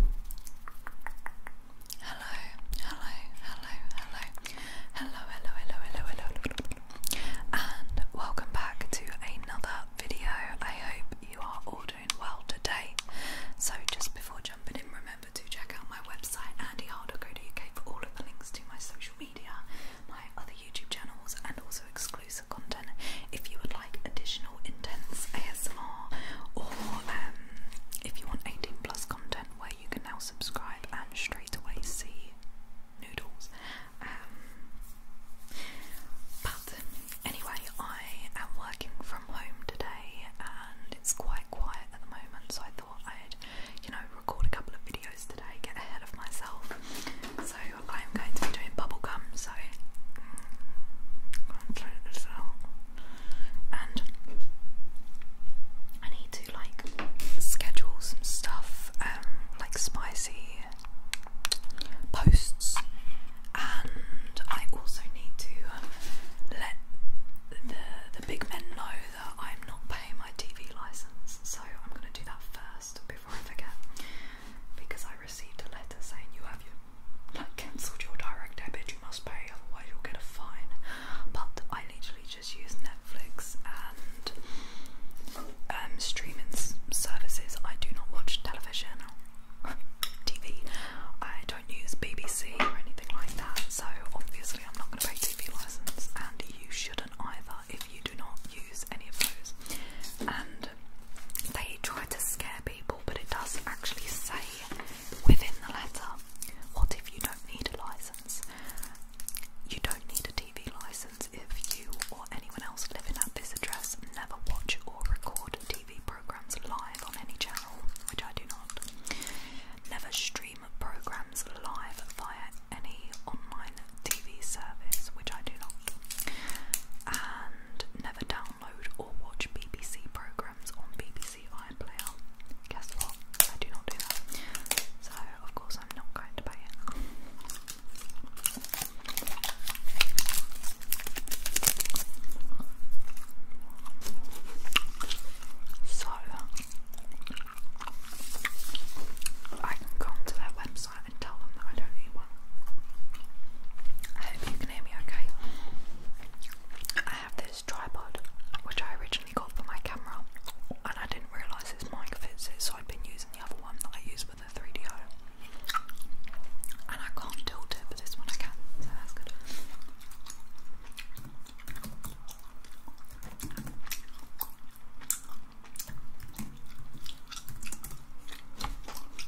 Hello, hello, hello, hello, hello, hello, hello, hello, hello, and welcome back to another video. I hope you are all doing well today. So, just before jumping in, remember to check out my website andyharder.co.uk for all of the links to my social media, my other YouTube channels, and also exclusive content. If you would like like additional intense ASMR or um, if you want 18 plus content where you can now subscribe and straight away see noodles. Um, but anyway, I am working from home today and it's quite quiet at the moment, so I thought I'd, you know, record a couple of videos today, get ahead of myself. So I'm going to be doing bubble gum. Sorry. Mm, and I need to like schedule some stuff, um, like spicy posts, and I also need to um, let the the big men know that I'm not paying my TV license. So I'm gonna do that first before I forget, because I received a letter saying you have your I cancelled your direct debit, you must pay, otherwise you'll get a fine. But I literally just use Netflix and um, streaming services. I do not watch television TV. I don't use BBC or anything like that. So obviously I'm not going to pay TV license, and you shouldn't either if you do not use any of those. And they try to scare people but it does not actually say within the letter what if you don't need a license? You don't need a TV license if you or anyone else living at this address never watch or record TV programs live on any channel, which I do not. Never stream programs live via any online TV service, which I do not. And never download download or watch BBC programmes on BBC iPlayer. Guess what? I do not do that. So, of course, I'm not going to pay it. So, I can go onto their website and tell them that I don't need one. I hope you can hear me okay. I have this tripod which I originally got for my camera and I didn't realise this mic fits it, so I've been using the other one that I use for the 3DO. And I can't tilt it, but this one can, so that's good.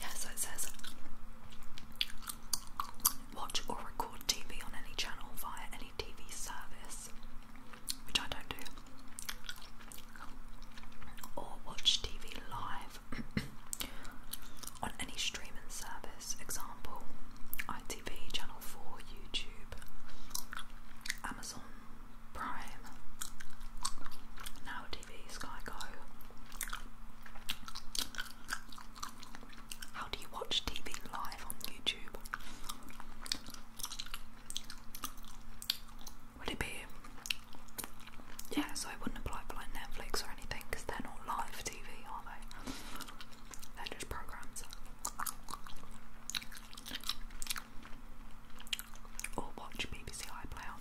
Yeah, so it says watch or record TV on any channel via any TV service, which I don't do, or watch TV live on any streaming service. Example, I TV, Channel 4, YouTube, Amazon Prime, Now TV, Sky Go. How do you watch TV live on YouTube? Would it be. Yeah, so it wouldn't apply for like Netflix or anything because they're not live TV, are they? vendors programs. Or oh, watch BBC iPlayer.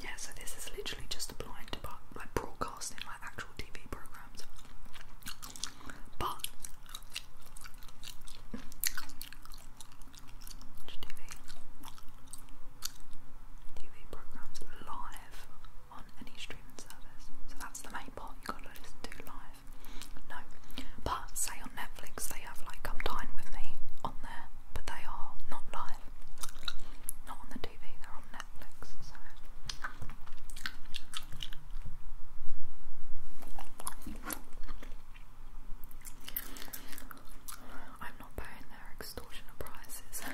Yeah, so this is literally just applied to like broadcasting like actual TV programs. But TV TV programs live on any streaming service. So that's the main part you have gotta listen to live. No, but say on Netflix they have like Come Dine with Me on there, but they are not live. Not on the TV, they're on Netflix. I'm not paying their extortionate prices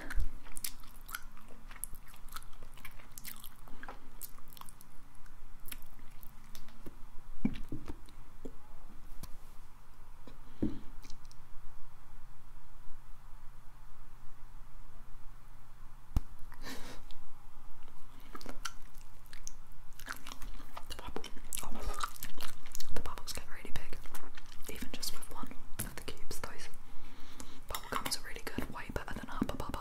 the, bubble, oh bubbles get really big, even just with one the cubes. Those bubble gums are really good, way better than Hubba Bubba.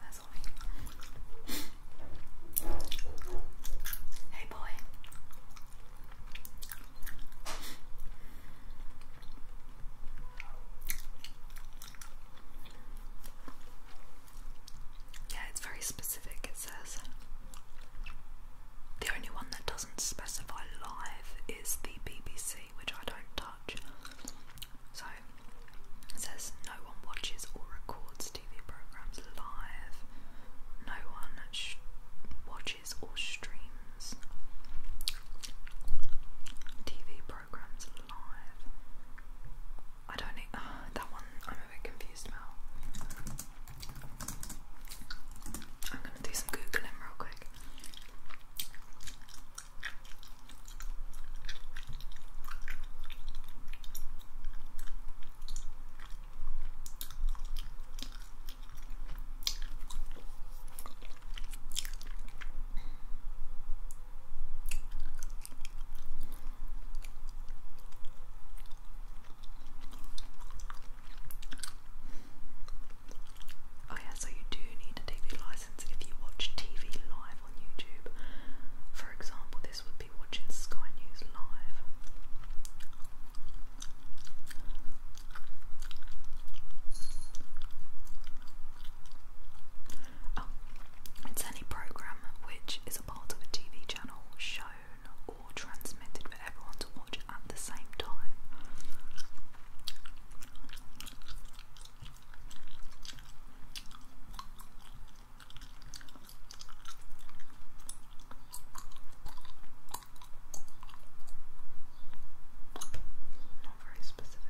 That's all Hey, boy. Yeah, it's very specific, it says. The only one that doesn't specify live is the BBC, which I don't touch. So it says no one watches or records TV programs live. No one watches or streams TV I don't know, ah, that one I'm a bit confused about. I'm gonna do some googling real quick. Oh, yeah, so you do need a TV license if you watch TV live on YouTube. For example, this would be watching Sky News live. Oh, it's any program which is a part of a TV channel shown or transmitted for everyone to watch at the same time. Not very specific.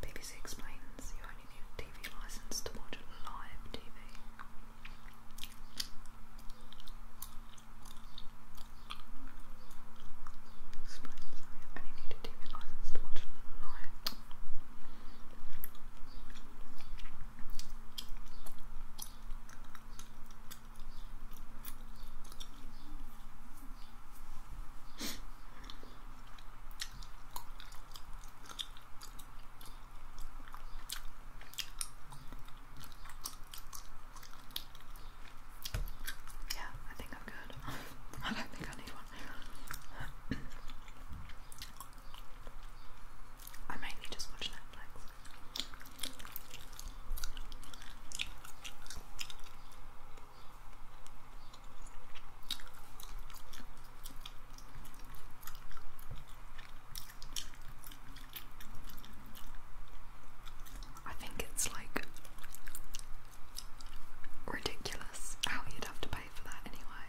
BBC explains you only need a TV license to watch live TV. Explains you only need a TV license to watch live. Yeah, I think I'm good. I don't think I need one. I mainly just watch Netflix. I think it's like ridiculous how you'd have to pay for that anyway.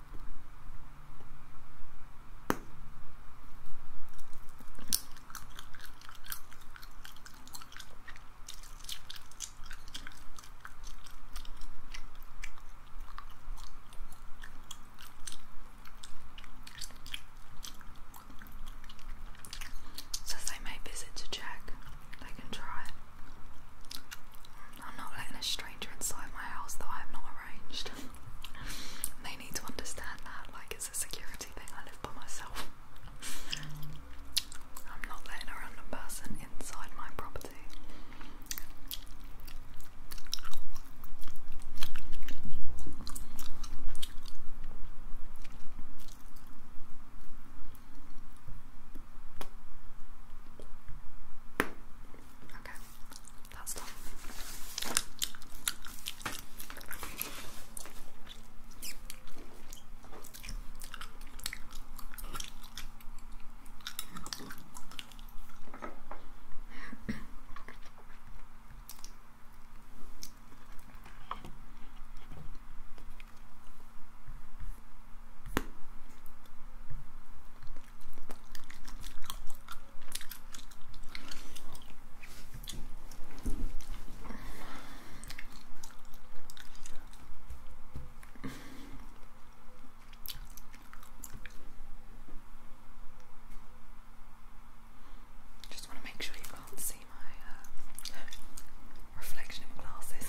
Says they may visit to check. They can try it. I'm not letting a stranger inside my house that I have not arranged. they need to understand that, like it's a security thing. I live by myself. I'm not letting a random person inside my property. Okay, that's done. Just want to make sure you can't see my uh, reflection in glasses.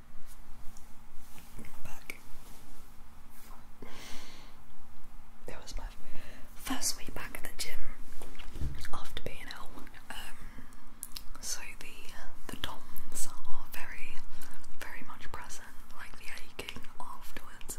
back. It was my first week back at the gym after being ill. Um, so the the DOMs are very, very much present, like the aching afterwards.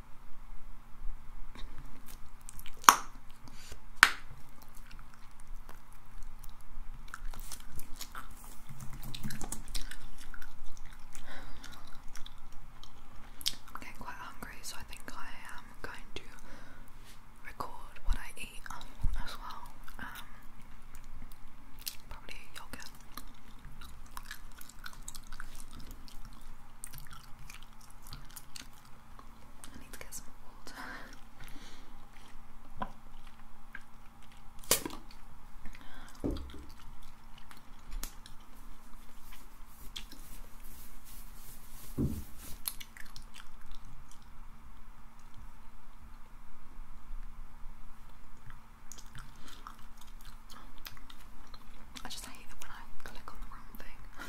I'm getting quite hungry, so I think I am going to record what I eat as well. Um, probably yogurt. I need to get some water. I just hate it when I click on the wrong thing.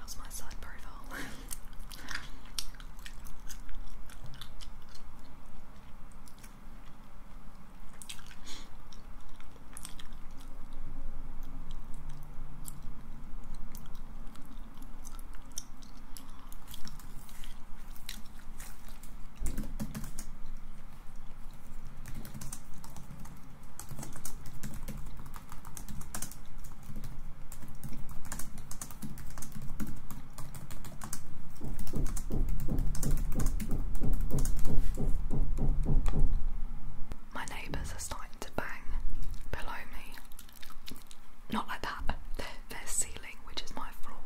How's my side profile? My neighbours are starting to bang below me not like that, their, ceiling, which is my floor,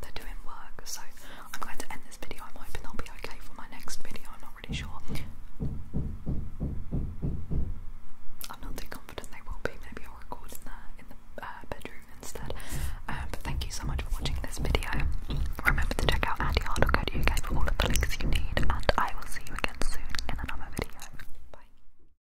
they're doing work. So I'm going to end this video. I'm hoping they'll be okay for my next video. I'm not really sure. I'm not too confident they will be. Maybe I'll record in the in the uh, bedroom instead. Um, but thank you so much for watching this video. Remember to check out Andy AndyHard.co.uk for all of the links you need, and I will see you again soon in another video. Bye.